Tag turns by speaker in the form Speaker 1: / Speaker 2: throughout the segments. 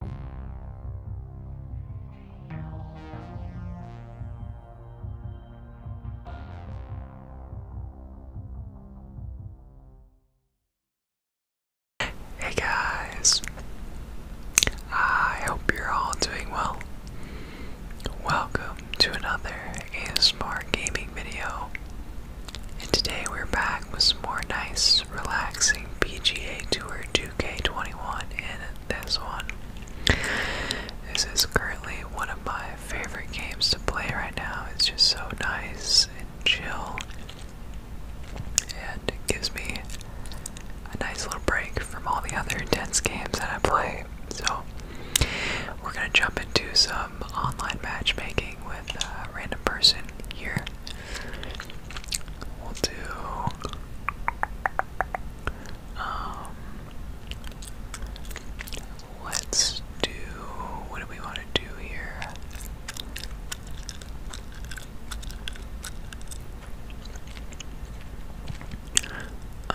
Speaker 1: Hey guys, I hope you're all doing well. Welcome to another ASMR gaming video, and today we're back with some more nice relaxing PGA Tour 2K21 in this one. This is currently one of my favorite games to play right now. It's just so nice and chill. And it gives me a nice little break from all the other intense games that I play. So, we're going to jump into some online matchmaking with a random person here. We'll do um, let's do what do we want to do here? Um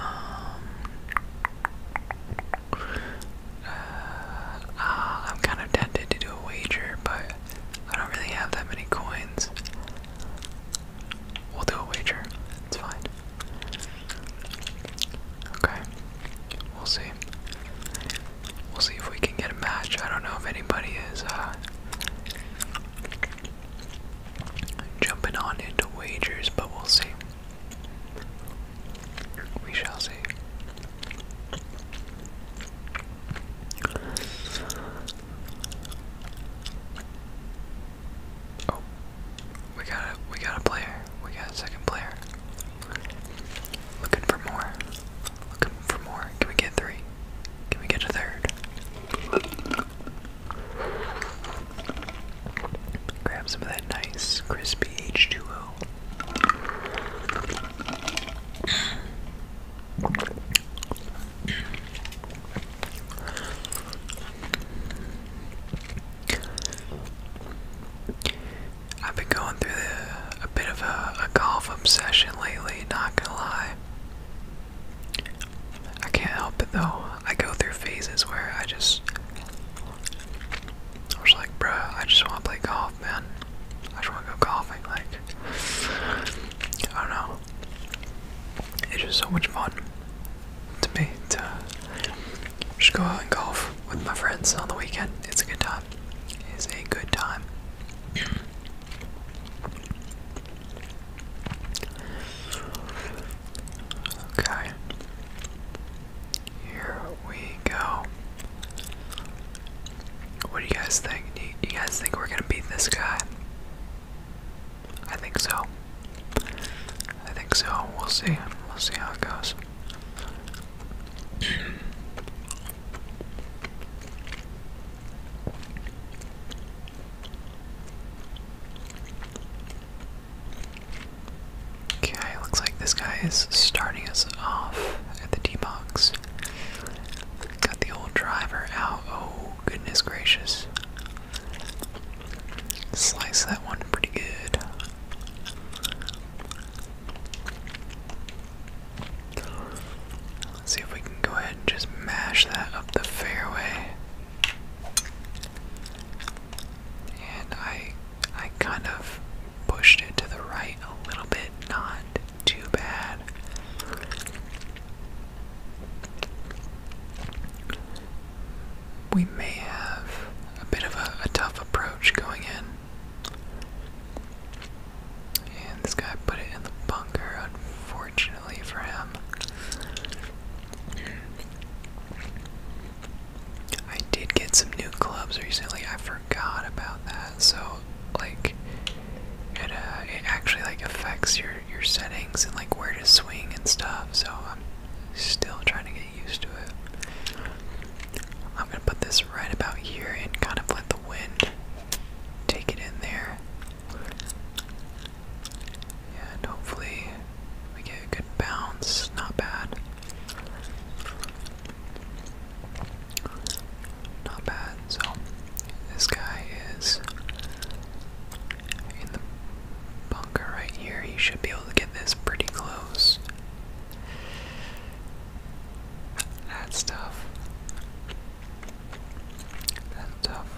Speaker 1: uh, I'm kind of tempted to do a wager, but I don't really have that many coins. We'll do a wager. It's fine. Okay. We'll see. We'll see if we can get a match. I don't know if anybody is uh, jumping on into wagers, but we'll see. We shall see. Oh, we got a we got a player. We got a second player. Looking for more. Looking for more. Can we get three? Can we get a third? Grab some of that nice crispy H2O. I've been going through a bit of a, golf obsession lately, not gonna lie. I can't help it though. I go through phases where I just. I was like, bruh, I just wanna play golf, man. I just wanna go golfing, like. I don't know it's just so much fun to me to just go out and golf with my friends on the weekend. It's a good time. It's a good time. Okay. Here we go. What do you guys think? Do you guys think we're gonna beat this guy? I think so. I think so. We'll see. We'll see how it goes. Okay, looks like this guy is starting us off at the D box. Got the old driver out. Oh, goodness gracious. Slice that one pretty good. Let's see if we can go ahead and just mash that up the fairway. And I I kind of pushed it to the right a little bit, not too bad. We may have a bit of a tough approach going in. And this guy put it in the bunker, unfortunately for him. I did get some new clubs recently. I forgot about that. So, like, it uh, it actually like affects your your settings and like where to swing and stuff. So I'm still trying to get used to it. I'm gonna put this right about here and kind of let the wind take it in there. And hopefully we get a good bounce, not bad. Not bad. So this guy is in the bunker right here. You should be able to get this pretty close. That's tough. That's tough.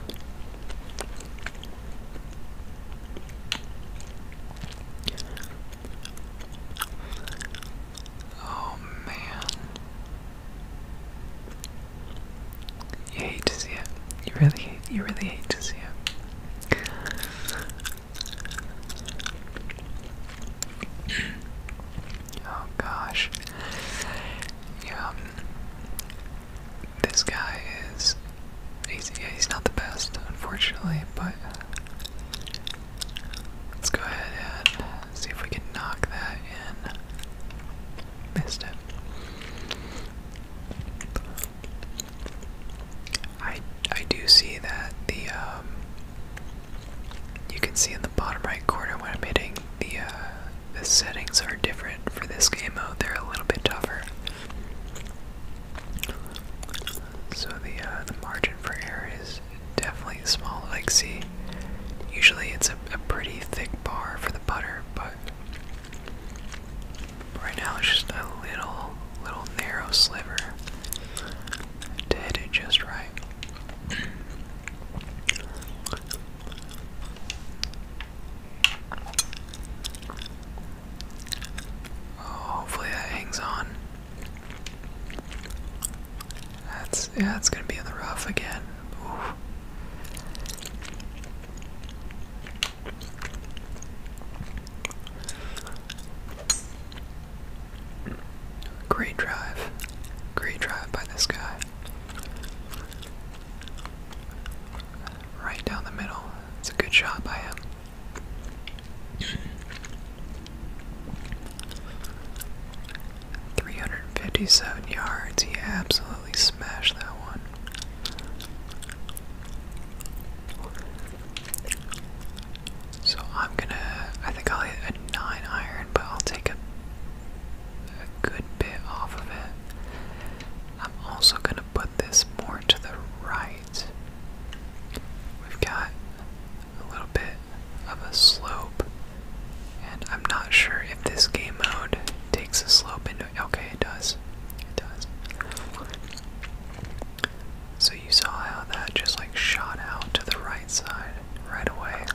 Speaker 1: Oh man. You hate to see it. You really hate you really hate to see it. Oh gosh. Yeah. This guy is he's he's not the best, unfortunately, but let's go ahead and see if we can knock that in missed it. I I do see that the um, you can see in the bottom right corner when I'm hitting the uh, the settings are different for this game mode. They're a little bit tougher. So the uh, the margin for error is definitely small. Like see, usually it's a, a pretty thick bar for the putter, but right now it's just a little, little narrow sliver to hit it just right. Oh, hopefully that hangs on. That's yeah, it's gonna be in the rough again. Great drive. Great drive by this guy. Right down the middle. It's a good shot by him. Three hundred and fifty seven yards. He absolutely smash that one. So I'm gonna, I think I'll hit a 9 iron, but I'll take a, good bit off of it. I'm also gonna put this more to the right. We've got a little bit of a slope, and I'm not sure if this game mode takes a slope into Okay, it does. It does. So you saw how that just like shot out to the right side right away.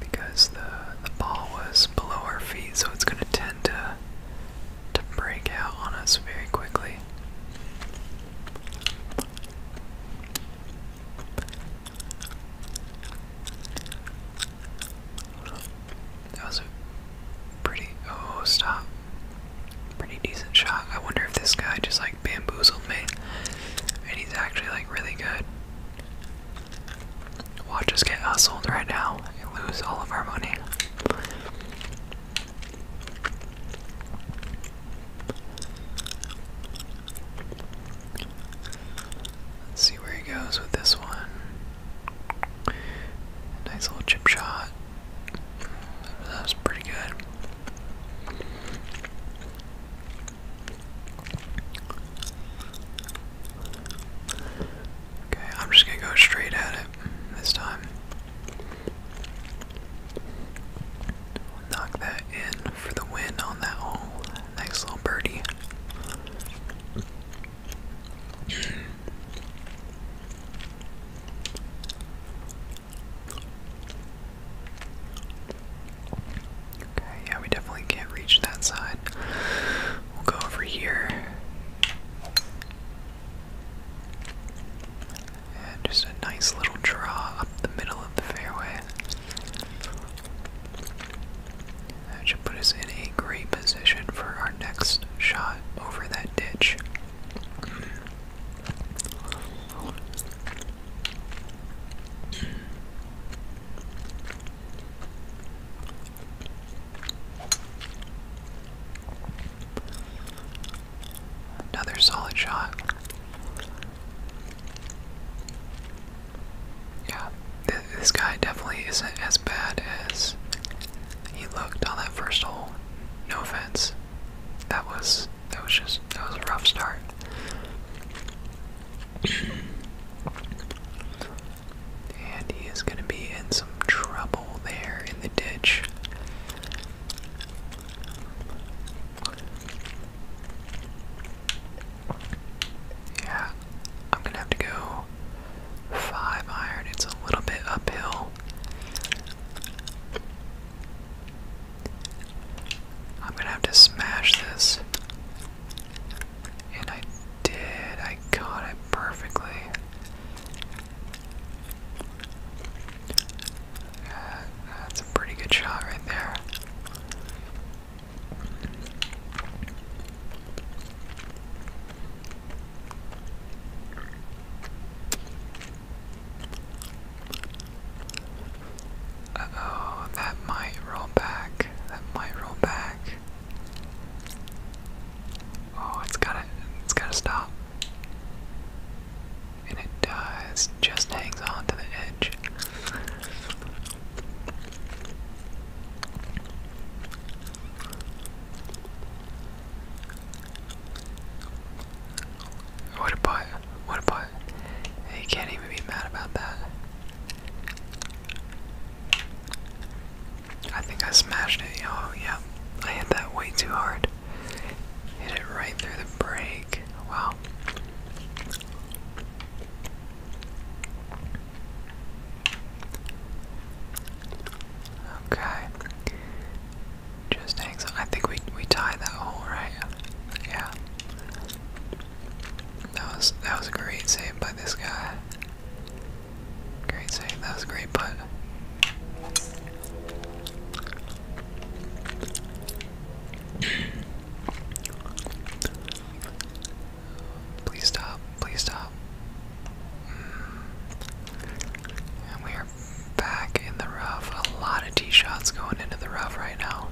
Speaker 1: because the the ball was below our feet, so it's gonna tend to to break out on us very quickly. That was a pretty, oh stop, pretty decent shot. I wonder if this guy just like bamboozled me, and he's actually like really good. Watch us get hustled right now and lose all of our money. Let's see where he goes with this one. Nice little chip shot. That was pretty good. Okay, I'm just gonna go straight at it this time. knock that in for the win on that hole. Nice little birdie. Okay, yeah, we definitely can't reach that side. We'll go over here. And just a nice little draw up the middle of the fairway. That should put us in a great position for our next shot over that ditch. Another solid shot. Yeah, this guy definitely isn't as bad as he looked on that first hole. No offense. That was that was just that was a rough start. and he is gonna be in some trouble there in the ditch. Yeah, I'm gonna have to go five iron. It's a little bit uphill. I'm gonna have to smash this. And I did. I caught it perfectly. Uh, that's a pretty good shot right there oh, that might roll back. That might roll back. Oh, it's gotta it's gotta stop. it does. Just hangs on to the edge. What a butt. What a butt. You can't even be mad about that. I think I smashed it. Oh, yeah. I hit that way too hard. Hit it right through the break. Wow. Okay. Just hang I think we we tied that hole, right? Yeah. That was that was a great save by this guy. Great save, that was a great putt. Please stop. Please stop. And we are back in the rough. A lot of tee shots going into the rough right now.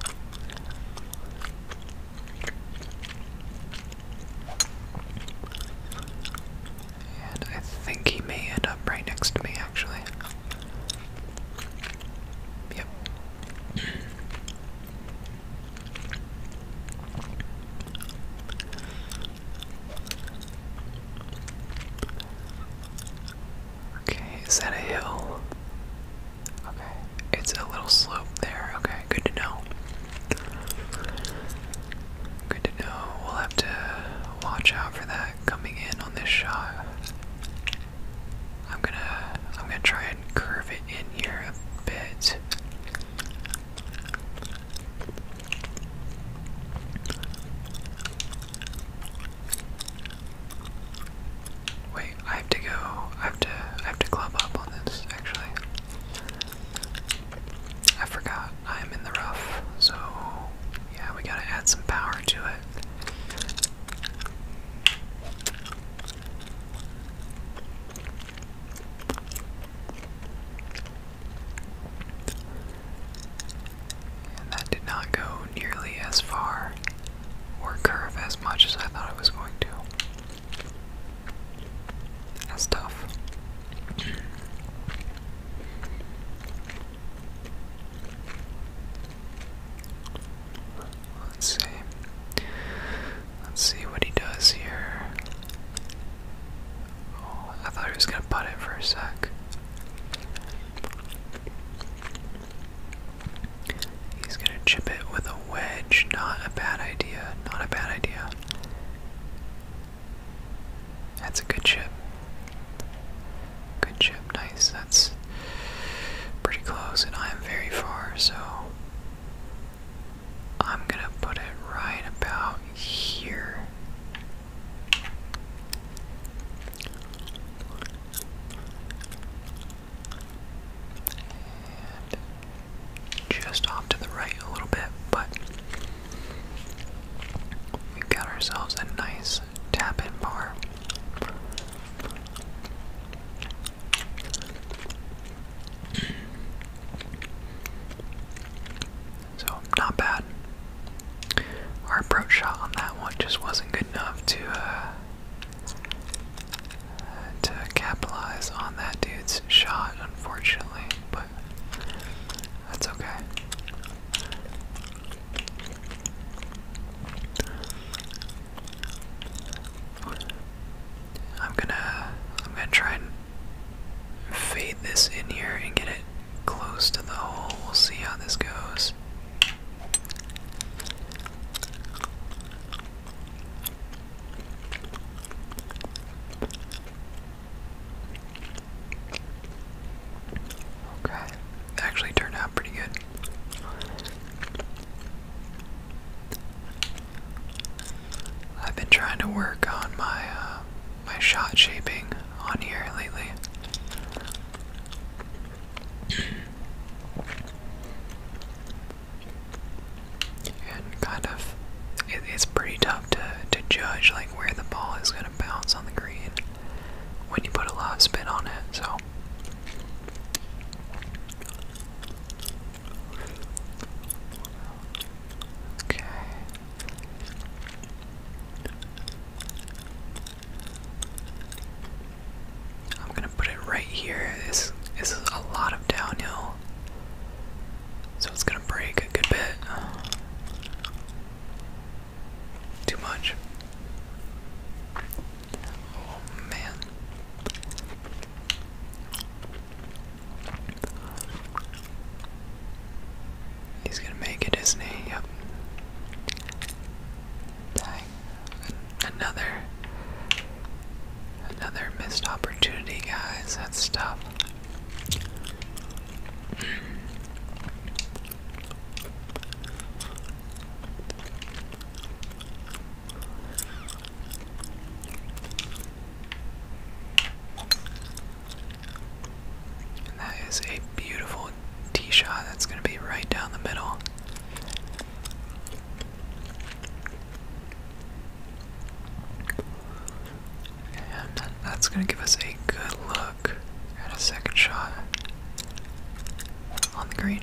Speaker 1: And I think he may end up right next to me, actually. Yep, Okay, is that a hill? Okay, it's a little slope there. Okay, good to know. Good to know. We'll have to watch out for that coming in on this shot. I'm gonna I'm gonna try and curve it in here a bit. Wait, I have to go. I have to. I have to club up on this. Actually, I forgot. I'm in the rough, so yeah, we gotta add some power to it that did not go nearly as far or curve as much as I thought it was going to. That's tough. Let's see. Let's see what he does here. Oh, I thought he was gonna putt it for a sec. He's gonna chip it with a wedge. Not a bad idea. Not a bad idea. That's a good chip. Good chip. Nice. That's Pretty close, and I'm very far, so I'm gonna put it right about here. just off to the right a little bit, but we've got ourselves a nice tap in bar. So, not bad. Our approach shot on that one just wasn't good enough to uh, to capitalize on that dude's shot, unfortunately. But that's okay. I'm gonna I'm gonna try and fade this in here and get it close to the hole. We'll see how this goes. Okay. Actually turned out pretty good. I've been trying to work on my uh, my shot shaping on here lately. And kind of, it's pretty tough to, to judge like where the ball is going to bounce on the green when you put a lot of spin on it. So, Okay. I'm gonna put it right here. This, is a lot of downhill, so it's gonna break a good bit. too much. Oh man. He's gonna make it, isn't he? Yep. Another another missed opportunity, guys. That's tough that is a beautiful tee shot that's going to be right down the middle. And that's going to give us a good look at a second shot on the green.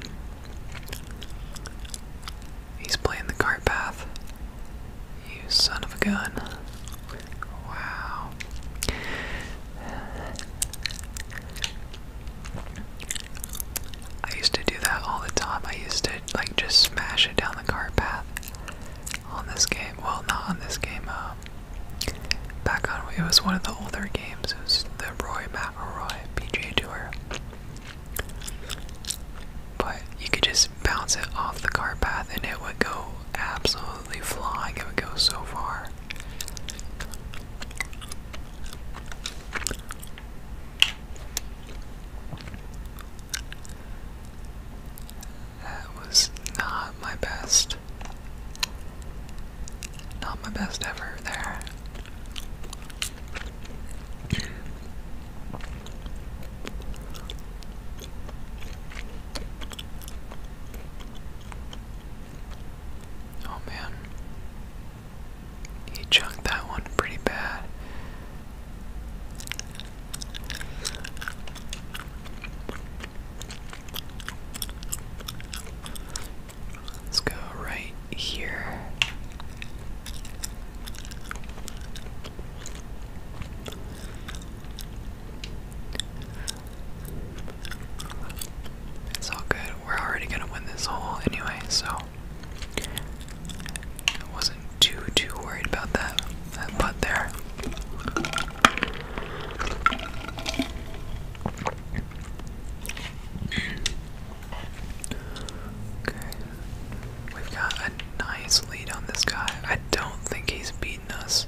Speaker 1: He's playing the cart path. You son of a gun. Wow. I used to do that all the time. I used to like just smash it down the cart path on this game. Well, not on this game. Um, back on it was one of the older games. It was the Roy McElroy PGA Tour. But you could just bounce it off the car path and it would go absolutely flying. It would go so far. That was not my best. Not my best ever there. Oh man. He chunked that one pretty bad. Let's go right here. It's all good. We're already gonna win this hole anyway, so I wasn't too too worried about that that putt there. Okay. We've got a nice lead on this guy. I don't think he's beaten us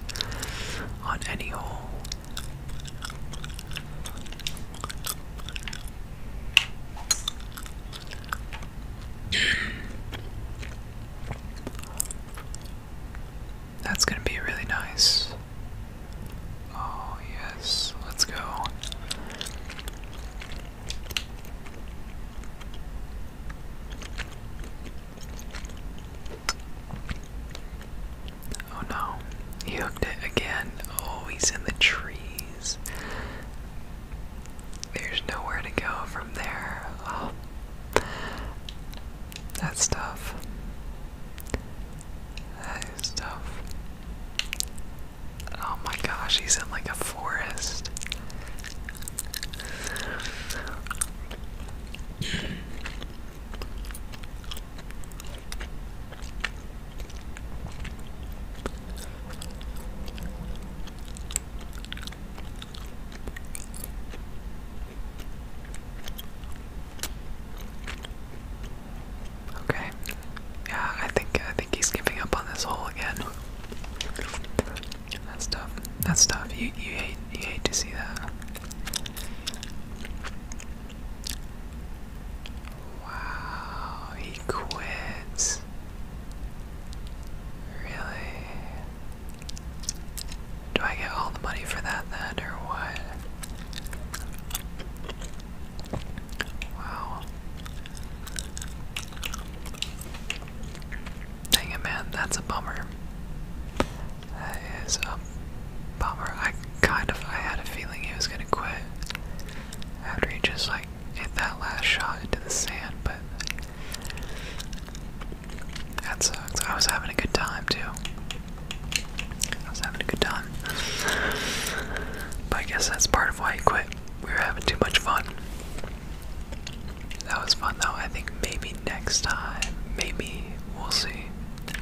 Speaker 1: on any hole. That's going to be really nice. Oh, yes. Let's go. Oh no, he hooked it again. Oh, he's in the trees. There's nowhere to go from there. that's tough. That is tough. Oh my gosh, he's in like a forest. Okay, yeah, I think I think he's giving up on this hole again. That's tough. That's tough. You you hate you hate to see that. Wow, he quits. Really? Do I get all the money for that then, or what? Wow. Dang it, man, that's a bummer. That is a bummer. I kind of, I had a feeling he was gonna quit after he just like hit that last shot into the sand, but that sucks. I was having a good time too. I was having a good time. But I guess that's part of why he quit we were having too much fun. That was fun though. I think maybe next time, maybe we'll see.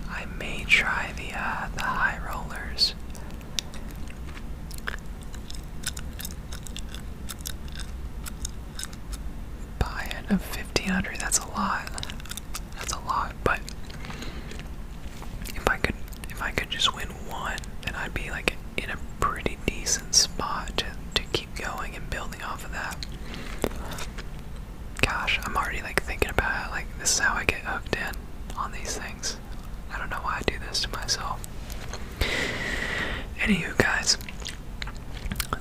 Speaker 1: I may try the uh, the high rollers. Buy-in of fifteen hundred. That's a lot. That's a lot. But if I could if I could just win one, then I'd be like in a pretty decent spot to, keep going and building off of that. Gosh, I'm already like thinking about it. Like, this is how I get hooked in on these things. I don't know why I do this to myself. Anywho, guys,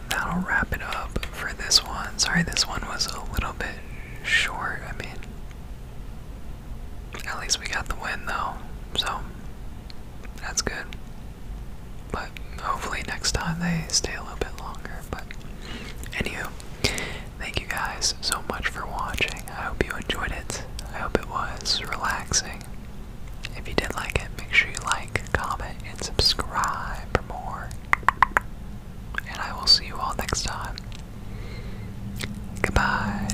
Speaker 1: that'll wrap it up for this one. Sorry, this one was a little bit short. I mean, at least we got the win though. So, that's good. But hopefully next time they stay a little bit longer. But anywho, thank you guys so much for watching. I hope you enjoyed it. I hope it was relaxing. If you did like it, make sure you like, comment, and subscribe for more. And I will see you all next time. Goodbye.